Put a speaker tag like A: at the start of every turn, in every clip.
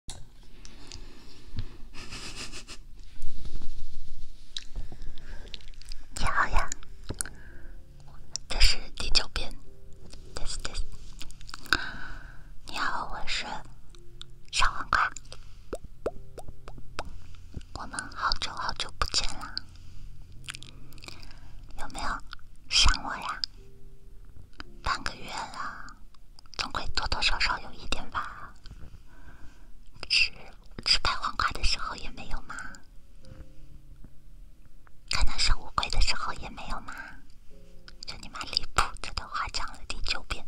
A: 你好呀，这是第九遍。你好，我是小黄我们好久好久不见啦，有没有想我呀？半个月了。总会多多少少有一点吧，吃吃拍黄瓜的时候也没有吗？看到小乌龟的时候也没有吗？就你妈离谱！这段话讲了第九遍。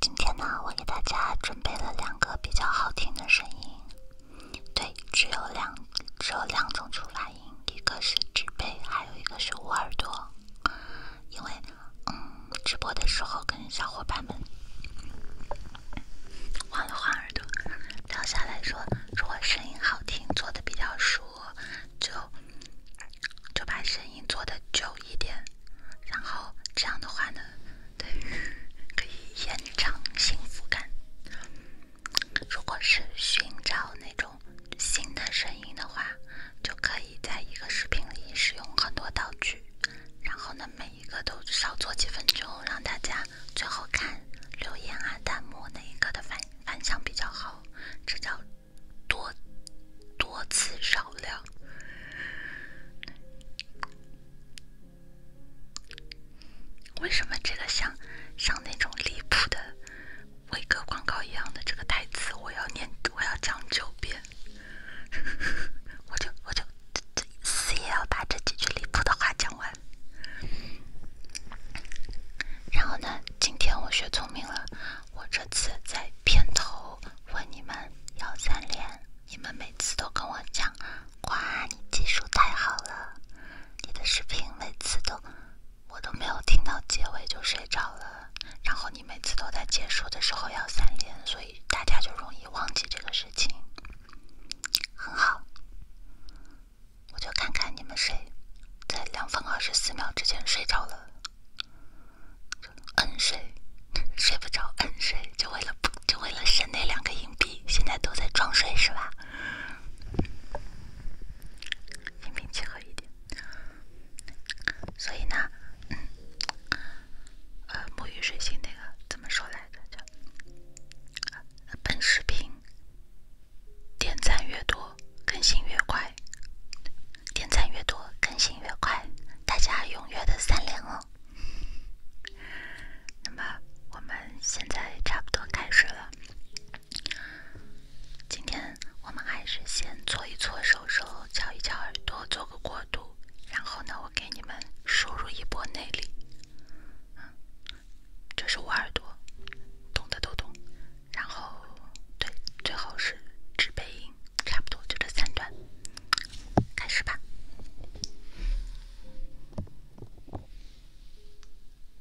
A: 今天呢，我给大家准备了两个比较好听的声音。对，只有两只有两种出发音，一个是纸杯，还有一个是捂耳朵。因为，嗯，直播的时候跟小伙伴们换了换耳朵，聊下来说，如果声音好听，做的比较熟，就就把声音做的久一点，然后这样的话呢，对，可以延长幸福感。如果是寻找那种新的声音的话，就可以在一个视频里使用很多道具，然后呢，每一个都少做几分钟，让大家最后看留言啊、弹幕哪一个的反反响比较好，这叫多多次少量。为什么这个像像那种离谱的伟哥广告一样的这个台词，我要念，我要讲九遍，我就我就死也要把这几句离谱的话讲完。然后呢，今天我学聪明了，我这次在片头问你们要三连，你们每次都跟我讲，哇，你技术太好了。你的视频每次都我都没有听到结尾就睡着了，然后你每次都在结束的时候要三连，所以大家就容易忘记这个事情。很好，我就看看你们谁在两分二十四秒之前睡着了，摁睡，睡不着摁睡，就为了就为了省那两个硬币，现在都在装睡是吧？心平气和一点，所以呢，呃，沐浴水星那个怎么说来着？叫本视频点赞越多更新越快，点赞越多更新越快，大家踊跃的三连哦。那么我们现在差不多开始了。今天我们还是先搓一搓手手，敲一敲耳朵，做个过渡。然后呢，我给你们输入一波内力。这是我耳朵，懂的都懂。然后，对，最后是纸杯音，差不多就这三段，开始吧。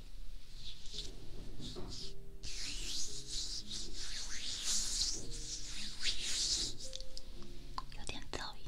A: 有点噪音。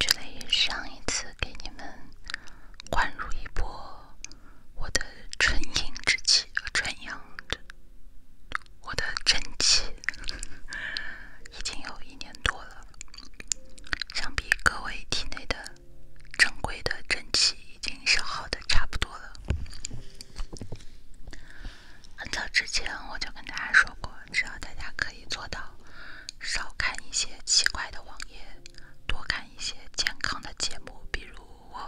A: 距离上一次给你们灌入一波我的纯阴之气和纯阳，我的真气，已经有一年多了。相比各位体内的珍贵的真气已经消耗的差不多了。很早之前我就跟大家说过，只要大家可以做到少看一些奇怪的网页，多看一些健康的节目，比如我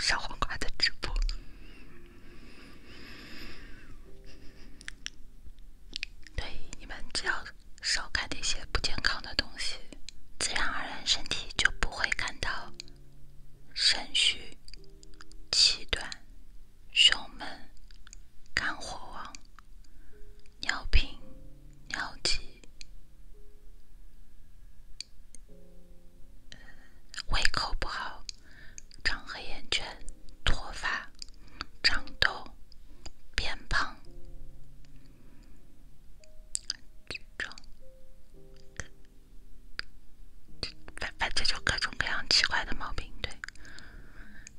A: 小黄瓜的直播。对，你们只要少看那些不健康的东西，自然而然身体就不会感到肾虚、气短、胸闷、肝火旺、尿频、尿急、胃口不好、长黑眼圈。脱发、长痘、变胖，这这反正就各种各样奇怪的毛病。对，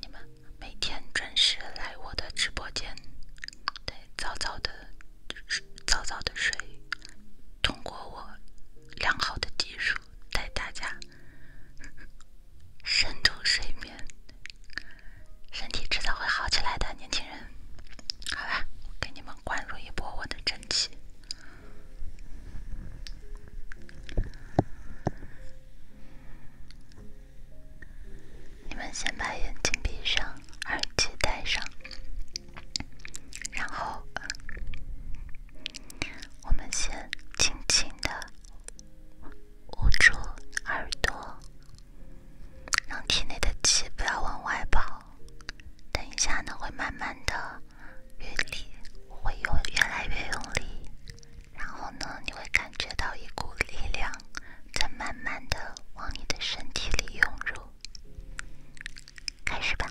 A: 你们每天准时来我的直播间，对，早早的早早的睡，通过我良好的技术带大家。深度睡眠，身体迟早会好起来的，年轻人。好吧，给你们灌入一波我的真气。你们先把眼睛闭上，耳机戴上，然后我们先轻轻的。捂住耳朵，让体内的气不要往外跑。等一下呢，会慢慢的用力，会用越来越用力，然后呢，你会感觉到一股力量在慢慢的往你的身体里涌入。开始吧。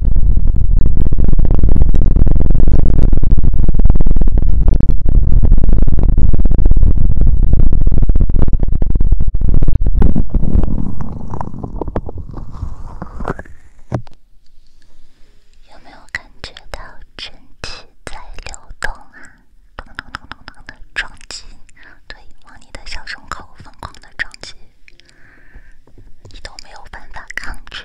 A: 有没有感觉到身体在流动啊？咚咚咚咚的撞击，对，往你的小胸口疯狂的撞击，你都没有办法抗拒。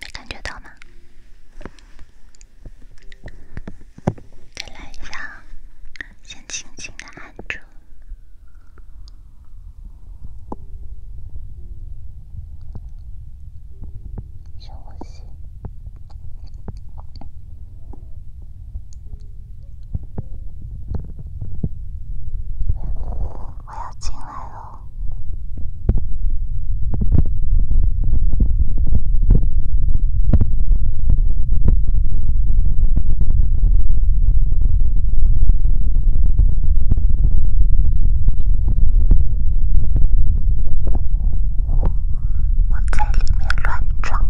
A: 没感觉到吗？再来一下，先轻轻的按住，深呼吸，我要进。我在里面乱撞。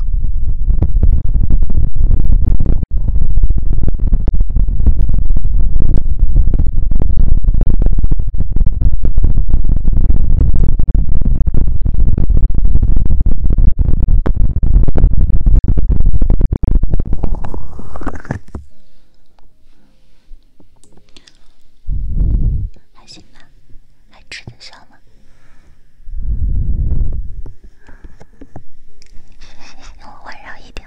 A: 还行吧，还吃得消吗？我温柔一点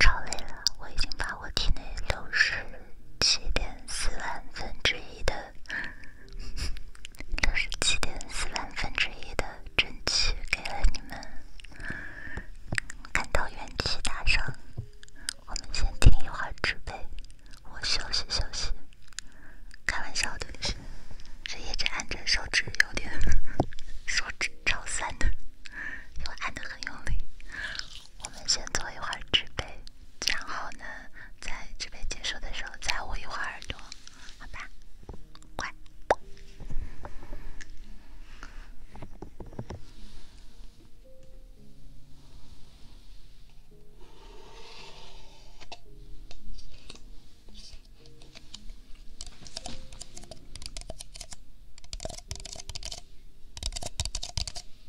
A: 超累了，我已经把我体内流失。七点四万分之一的，都是七点四万分之一的真气给了你们，看到元气大伤。我们先听一会儿纸杯，我休息休息。开玩笑的，是一直按着手指，有点手指超酸的，因为按的很用力。我们先做一会儿纸杯，然后呢，在纸杯结束的时候再捂一会儿耳朵，好吧？乖。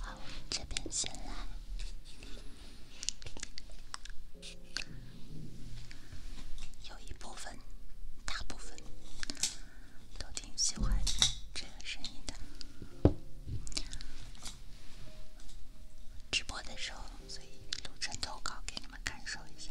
A: 好，这边先来，有一部分，大部分都挺喜欢这个声音的。直播的时候，所以录成投稿给你们看。感受一下。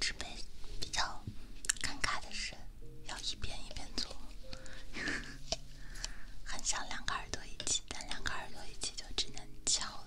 A: 这辈子比较尴尬的是，要一遍一遍做，很想两个耳朵一起，但两个耳朵一起就只能叫了。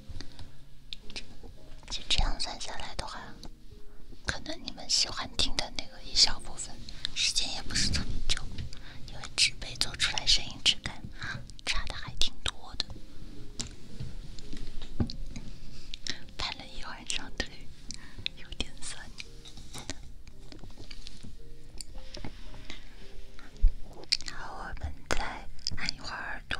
A: 就这样算下来的话，可能你们喜欢听的那个一小部分时间也不是特别久，因为纸杯做出来声音质感差的还挺多的，拍了一晚上腿，有点酸。好，我们再按一会儿耳朵。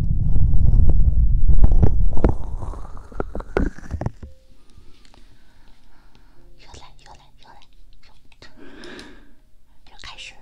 A: 越来越，来又来又来，开始了。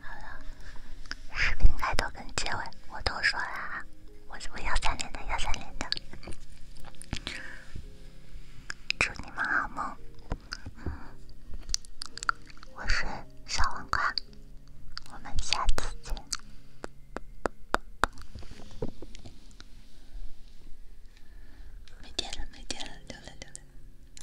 A: 好了，视频开头跟结尾我都说了啊，我我要三连的，要三连的。祝你们好梦，我睡小黄瓜，我们下次见。没电了，没电了，流泪流泪。